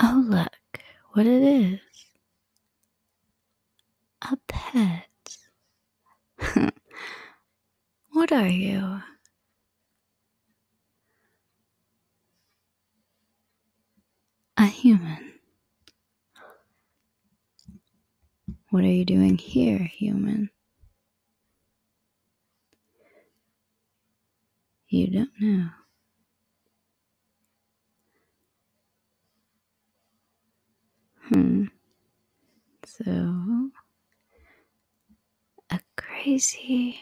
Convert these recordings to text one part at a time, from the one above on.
Oh, look what it is a pet. what are you? A human. What are you doing here, human? You don't know. Hmm. So, a crazy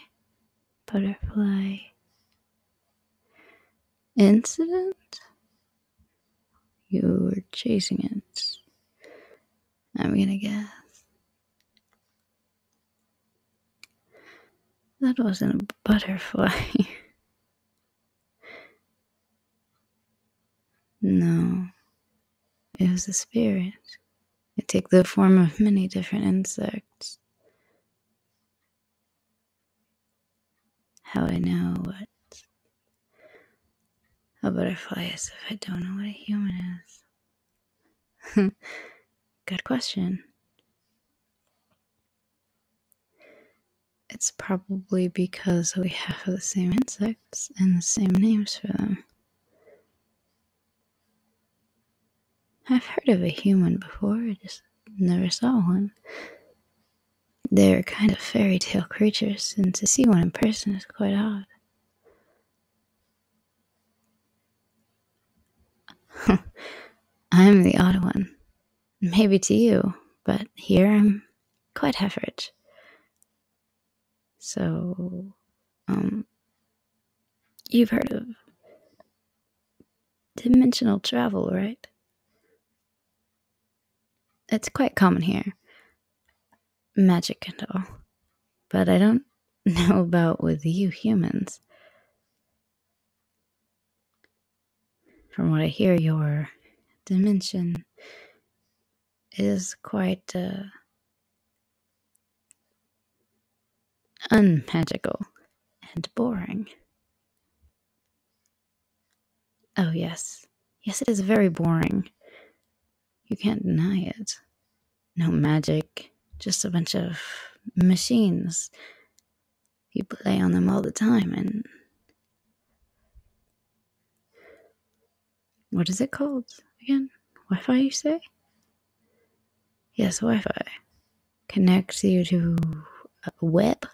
butterfly incident? You were chasing it. I'm gonna guess. That wasn't a butterfly. no, it was a spirit. It took the form of many different insects. How I know what a butterfly is if I don't know what a human is. Good question. It's probably because we have the same insects and the same names for them. I've heard of a human before, I just never saw one. They're kind of fairy tale creatures, and to see one in person is quite odd. I'm the odd one. Maybe to you, but here I'm quite average. So, um, you've heard of dimensional travel, right? It's quite common here. Magic and all. But I don't know about with you humans. From what I hear, your dimension is quite uh, unmagical and boring. Oh, yes. Yes, it is very boring. You can't deny it no magic, just a bunch of machines. You play on them all the time, and what is it called again? Wi Fi, you say? Yes, Wi Fi connects you to a web.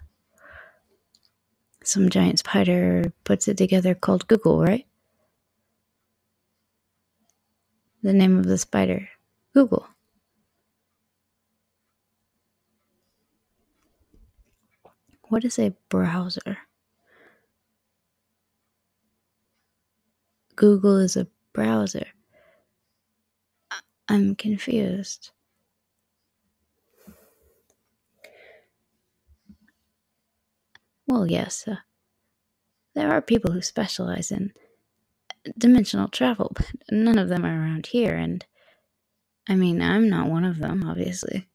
Some giant spider puts it together called Google, right? The name of the spider Google. What is a browser? Google is a browser. I'm confused. Well, yes, sir. Uh, there are people who specialize in dimensional travel, but none of them are around here, and I mean, I'm not one of them, obviously.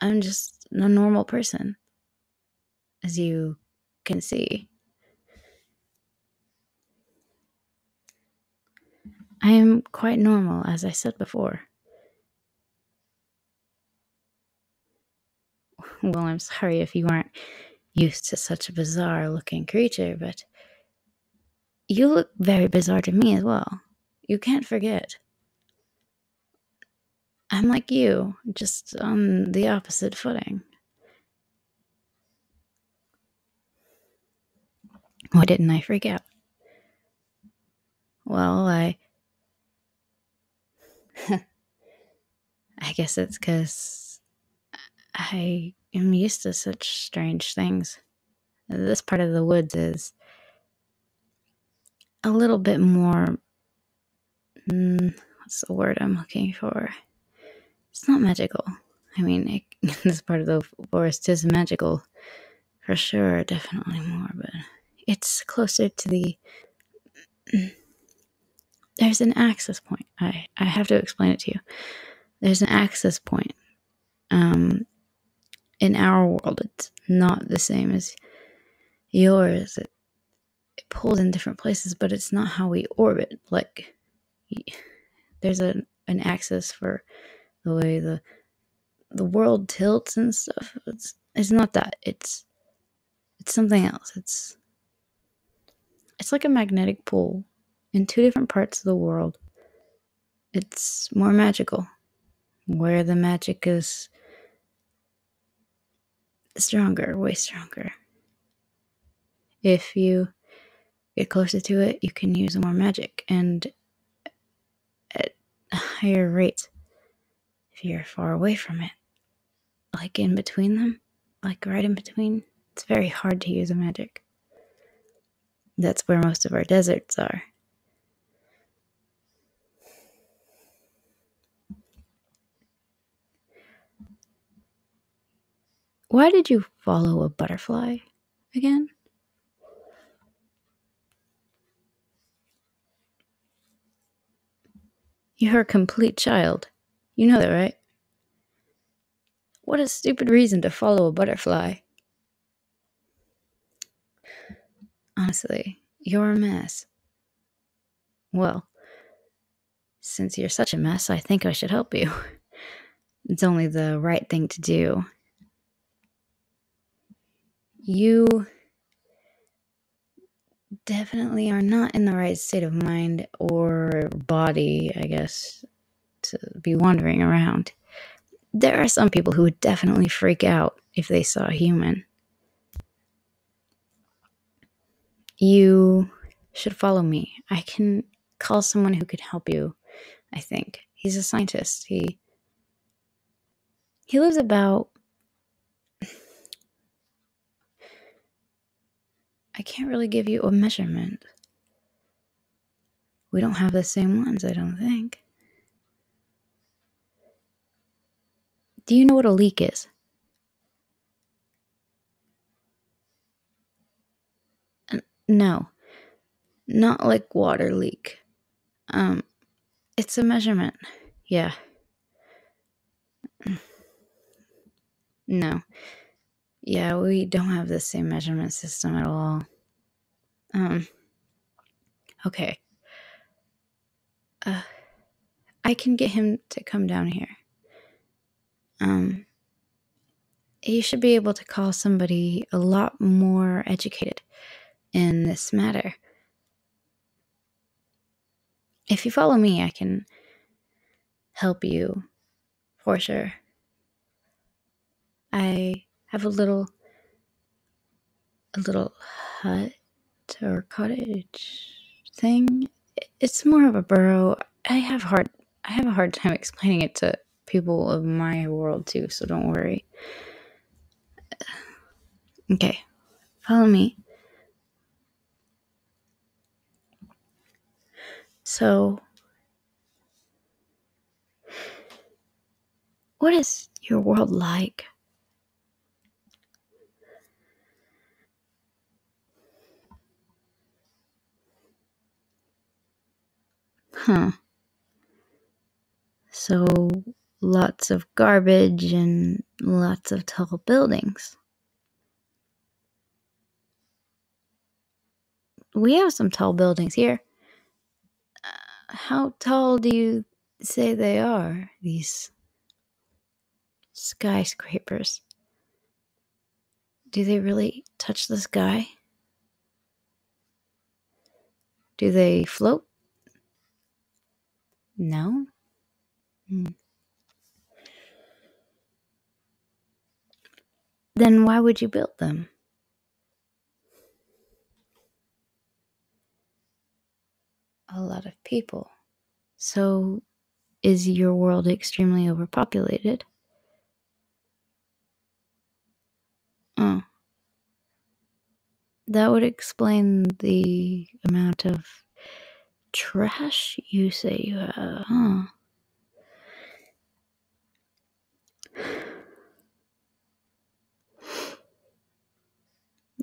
I'm just a normal person, as you can see. I am quite normal, as I said before. Well, I'm sorry if you aren't used to such a bizarre looking creature, but you look very bizarre to me as well. You can't forget. I'm like you, just on the opposite footing. Why didn't I freak out? Well, I I guess it's because I am used to such strange things. This part of the woods is a little bit more. Mm, what's the word I'm looking for? It's not magical. I mean, this part of the forest is magical, for sure, definitely more, but it's closer to the there's an access point. I, I have to explain it to you. There's an access point. Um, in our world, it's not the same as yours. It, it pulls in different places, but it's not how we orbit. Like, there's a, an axis for the way the the world tilts and stuff. It's it's not that. It's it's something else. It's it's like a magnetic pull in two different parts of the world. It's more magical. Where the magic is stronger, way stronger. If you get closer to it, you can use more magic and at a higher rate if you're far away from it. Like in between them, like right in between, it's very hard to use a magic. That's where most of our deserts are. Why did you follow a butterfly again? You're a complete child. You know that, right? What a stupid reason to follow a butterfly. Honestly, you're a mess. Well, since you're such a mess, I think I should help you. It's only the right thing to do. You definitely are not in the right state of mind or body, I guess, to be wandering around. There are some people who would definitely freak out if they saw a human. You should follow me. I can call someone who could help you, I think. He's a scientist. He he lives about I can't really give you a measurement. We don't have the same ones, I don't think. Do you know what a leak is? No, not like water leak. Um, it's a measurement. Yeah. No. Yeah, we don't have the same measurement system at all. Um. Okay. Uh, I can get him to come down here. Um. He should be able to call somebody a lot more educated in this matter. If you follow me, I can help you for sure. I have a little a little hut or cottage thing. It's more of a burrow. I have hard I have a hard time explaining it to people of my world too, so don't worry. Okay. Follow me. So, what is your world like? Huh. So, lots of garbage and lots of tall buildings. We have some tall buildings here. Uh, how tall do you say they are, these skyscrapers? Do they really touch the sky? Do they float? No? Hmm. Then why would you build them? A lot of people. So is your world extremely overpopulated? Oh that would explain the amount of trash you say you have, huh?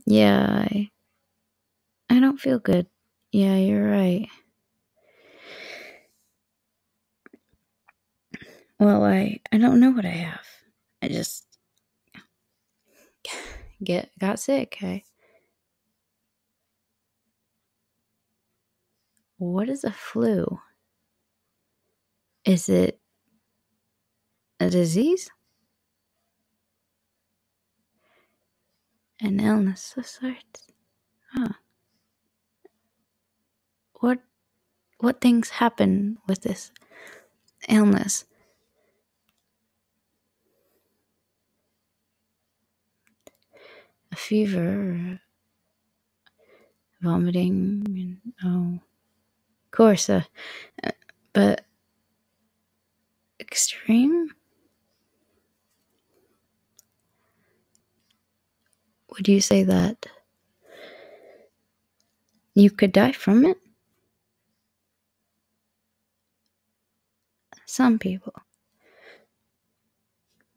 Yeah, I, I don't feel good. Yeah, you're right. Well, I I don't know what I have. I just get got sick. Okay. What is a flu? Is it a disease? An illness of sorts? Huh. What what things happen with this illness? a fever, vomiting, and oh, of course, uh, but extreme. Would you say that you could die from it? Some people.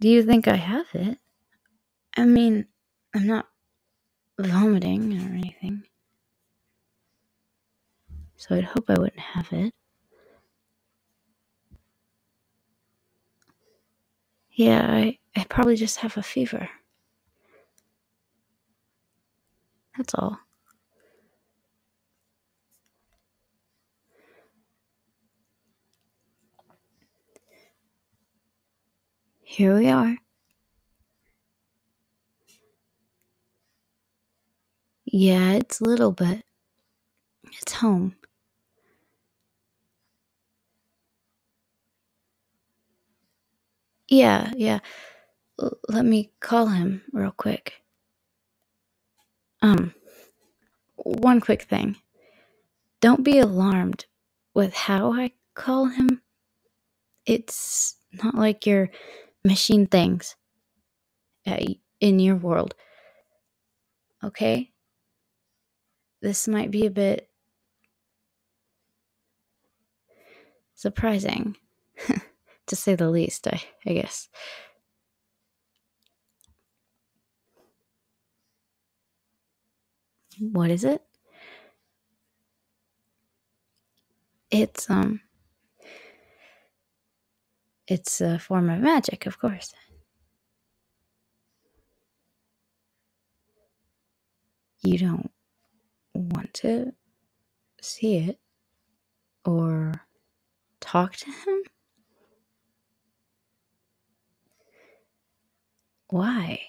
Do you think I have it? I mean, I'm not vomiting or anything. So I'd hope I wouldn't have it. Yeah, I, I probably just have a fever. That's all. Here we are. Yeah, it's little, but it's home. Yeah, yeah. let me call him real quick. Um, one quick thing. Don't be alarmed with how I call him. It's not like your machine things uh, in your world. Okay? This might be a bit Surprising, to say the least, I, I guess. What is it? It's, um, it's a form of magic, of course you don't want to see it or talk to him? Why?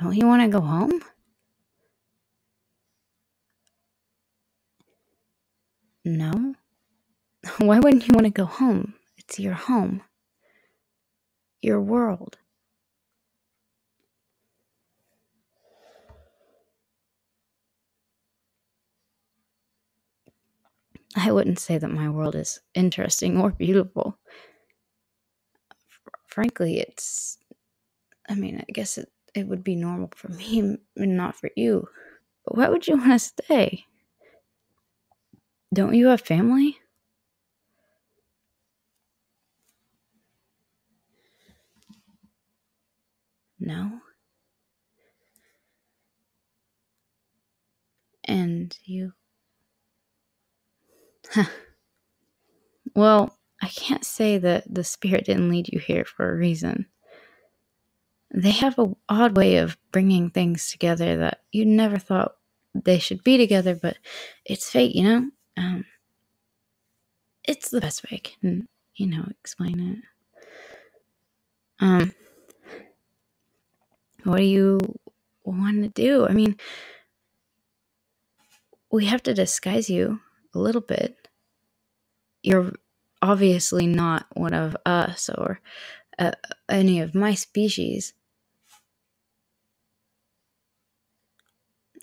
Don't you want to go home? No. Why wouldn't you want to go home? It's your home, your world, I wouldn't say that my world is interesting or beautiful. frankly, it's. I mean, I guess it, it would be normal for me and not for you. But why would you want to stay? Don't you have family? No? And you. well, I can't say that the spirit didn't lead you here for a reason. They have a odd way of bringing things together that you never thought they should be together, but it's fate, you know? Um, it's the best way I can, you know, explain it. Um, what do you want to do? I mean, we have to disguise you a little bit. You're obviously not one of us or uh, any of my species.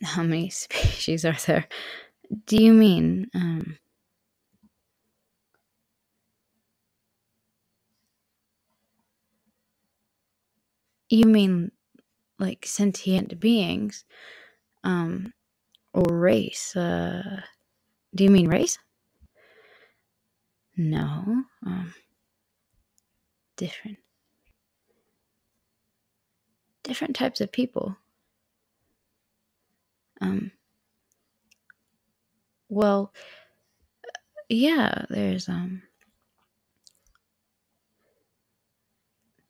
How many species are there? Do you mean? Um, you mean like sentient beings? Um, or race? Uh, do you mean race? No. Um, different different types of people. Um, well, yeah, there's um,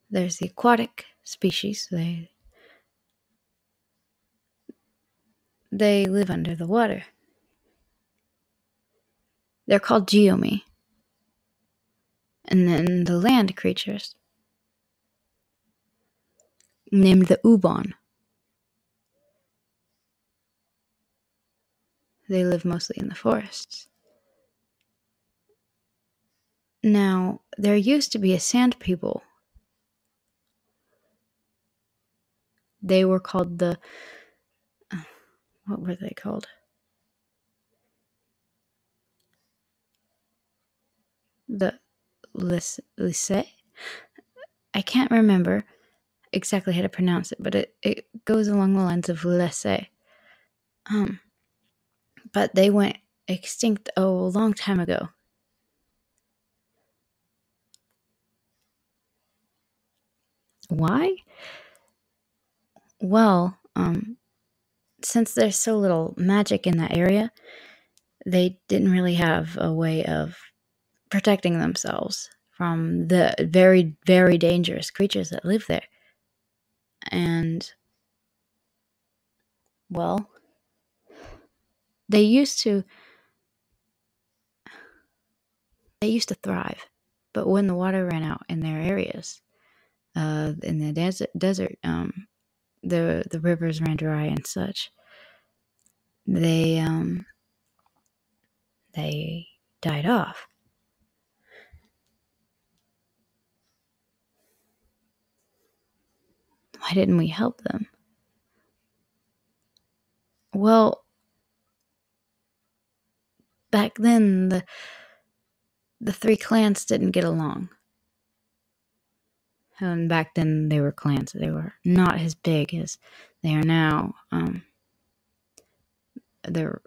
there's the aquatic species. They they live under the water. They're called Geomi. And then the land creatures, named the Ubon. They live mostly in the forests. Now, there used to be a sand people. They were called the. Uh, what were they called? The lycée? I can't remember exactly how to pronounce it, but it, it goes along the lines of lycée. Um, but they went extinct a long time ago. Why? Well, um, since there's so little magic in that area, they didn't really have a way of protecting themselves from the very, very dangerous creatures that live there. And, well, they used to they used to thrive, but when the water ran out in their areas, uh, in the desert, desert um, the the rivers ran dry and such. They um, they died off. Why didn't we help them? Well, Back then, the, the three clans didn't get along. And back then, they were clans. They were not as big as they are now. Um, they're.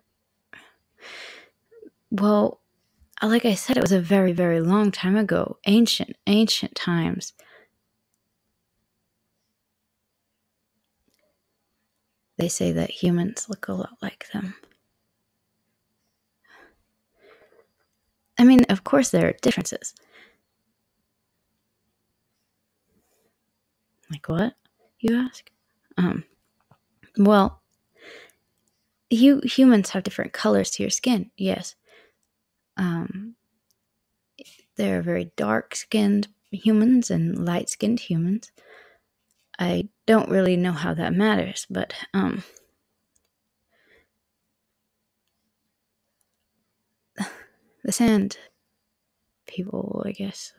Well, like I said, it was a very, very long time ago. Ancient, ancient times. They say that humans look a lot like them. I mean, of course, there are differences. Like what? You ask? Um, well, you humans have different colors to your skin, yes. Um, there are very dark skinned humans and light skinned humans. I don't really know how that matters, but um, the sand people, I guess,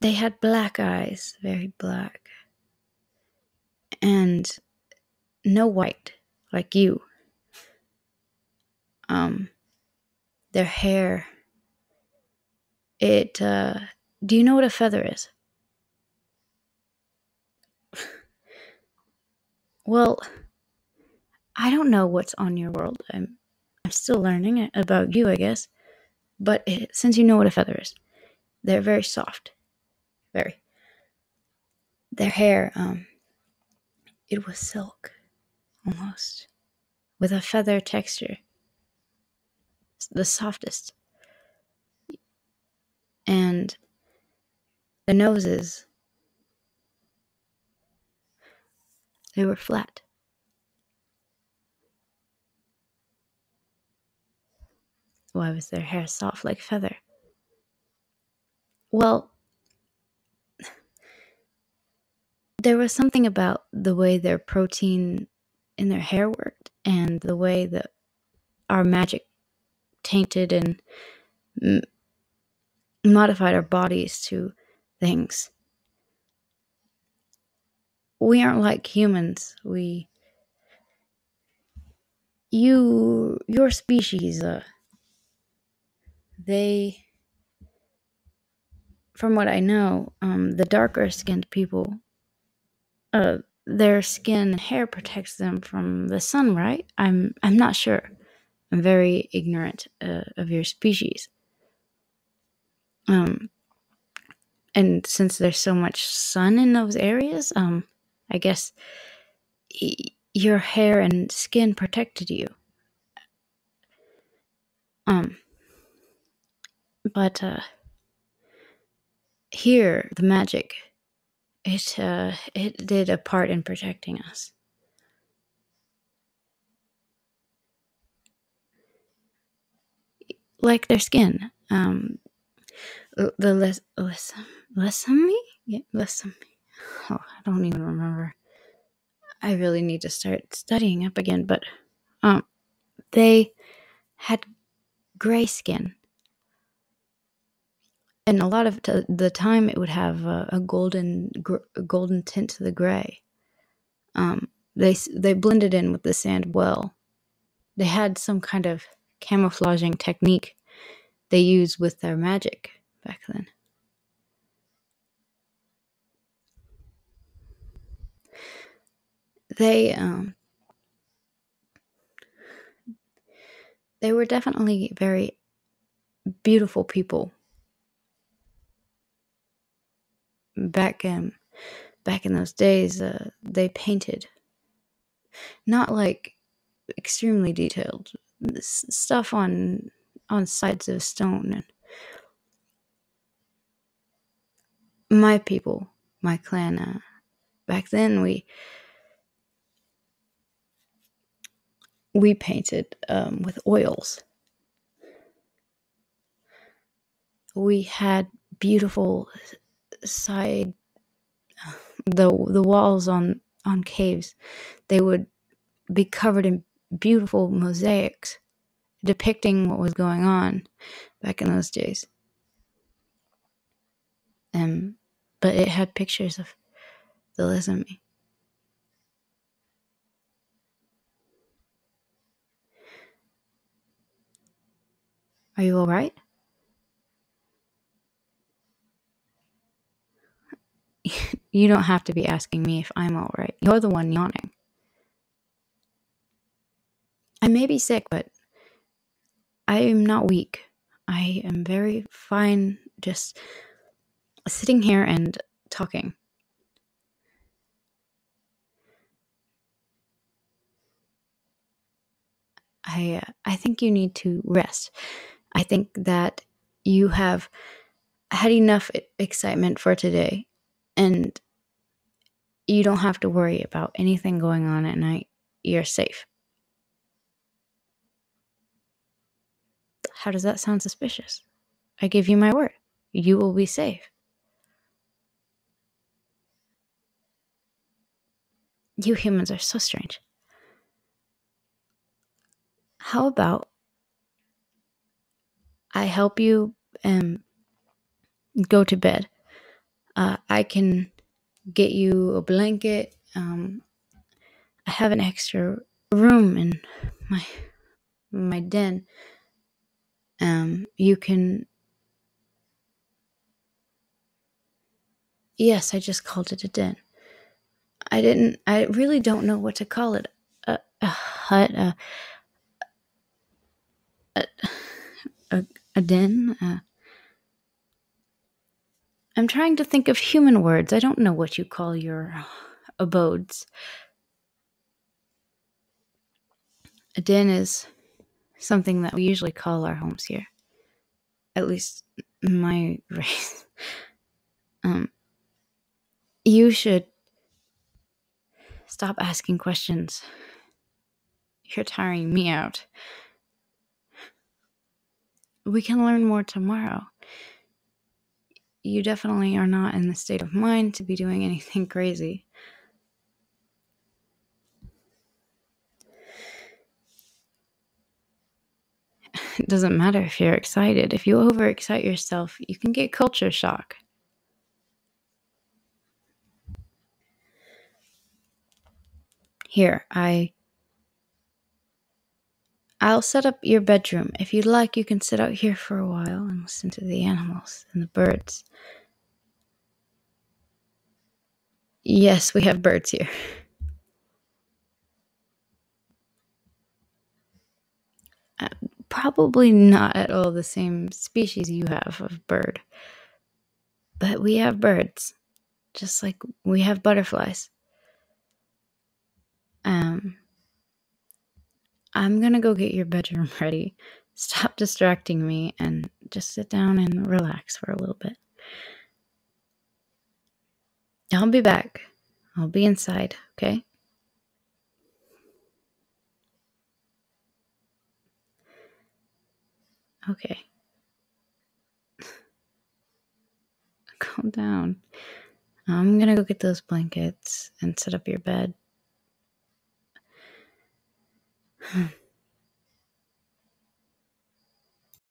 they had black eyes, very black, and no white like you. Um, their hair. It, uh, do you know what a feather is? well, I don't know what's on your world. I'm, I'm still learning about you, I guess. But since you know what a feather is, they're very soft. Very. Their hair, um, it was silk, almost with a feather texture. the softest. And the noses, they were flat. Why was their hair soft like feather? Well, there was something about the way their protein in their hair worked and the way that our magic tainted and modified our bodies to things. We aren't like humans. We you your species uh, they from what I know, um, the darker skinned people, uh, their skin and hair protects them from the sun, right? I'm I'm not sure. I'm very ignorant uh, of your species. Um, and since there's so much sun in those areas, um, I guess your hair and skin protected you. Um, but uh, here, the magic, it uh, it did a part in protecting us. Like their skin, um, the less, less, less les me. yeah less lesami. Oh, I don't even remember. I really need to start studying up again, but um, they had gray skin. And a lot of the time, it would have a, golden golden tint to the gray. Um, they they blended in with the sand well. They had some kind of camouflaging technique they used with their magic back then. They um, they were definitely very beautiful people back in back in those days. Uh, they painted not like extremely detailed stuff on on sides of stone and my people, my clan. Uh, back then, we we painted um, with oils. We had beautiful side the the walls on on caves. They would be covered in beautiful mosaics depicting what was going on back in those days. Um, but it had pictures of the Lizami. Are you alright? you don't have to be asking me if I'm all right. You're the one yawning. I may be sick, but I am not weak. I am very fine just sitting here and talking. I uh, I think you need to rest. I think that you have had enough excitement for today and you don't have to worry about anything going on at night. You're safe. How does that sound suspicious? I give you my word. You will be safe. You humans are so strange. How about I help you and go to bed? Uh, I can get you a blanket. Um, I have an extra room in my my den. Um, you can Yes, I just called it a den. I didn't, I really don't know what to call it. A, a hut, a, a, a, a den. i I'm trying to think of human words. I don't know what you call your abodes. A den is something that we usually call our homes here at least my race, um, you should stop asking questions. You're tiring me out. We can learn more tomorrow. You definitely are not in the state of mind to be doing anything crazy. It doesn't matter if you're excited. If you overexcite yourself, you can get culture shock. Here, I I'll set up your bedroom. If you'd like, you can sit out here for a while and listen to the animals and the birds. Yes, we have birds here. probably not at all the same species you have of bird. But we have birds, just like we have butterflies. Um, I'm gonna go get your bedroom ready. Stop distracting me and just sit down and relax for a little bit. I'll be back. I'll be inside, okay? Okay. Calm down. I'm gonna go get those blankets and set up your bed.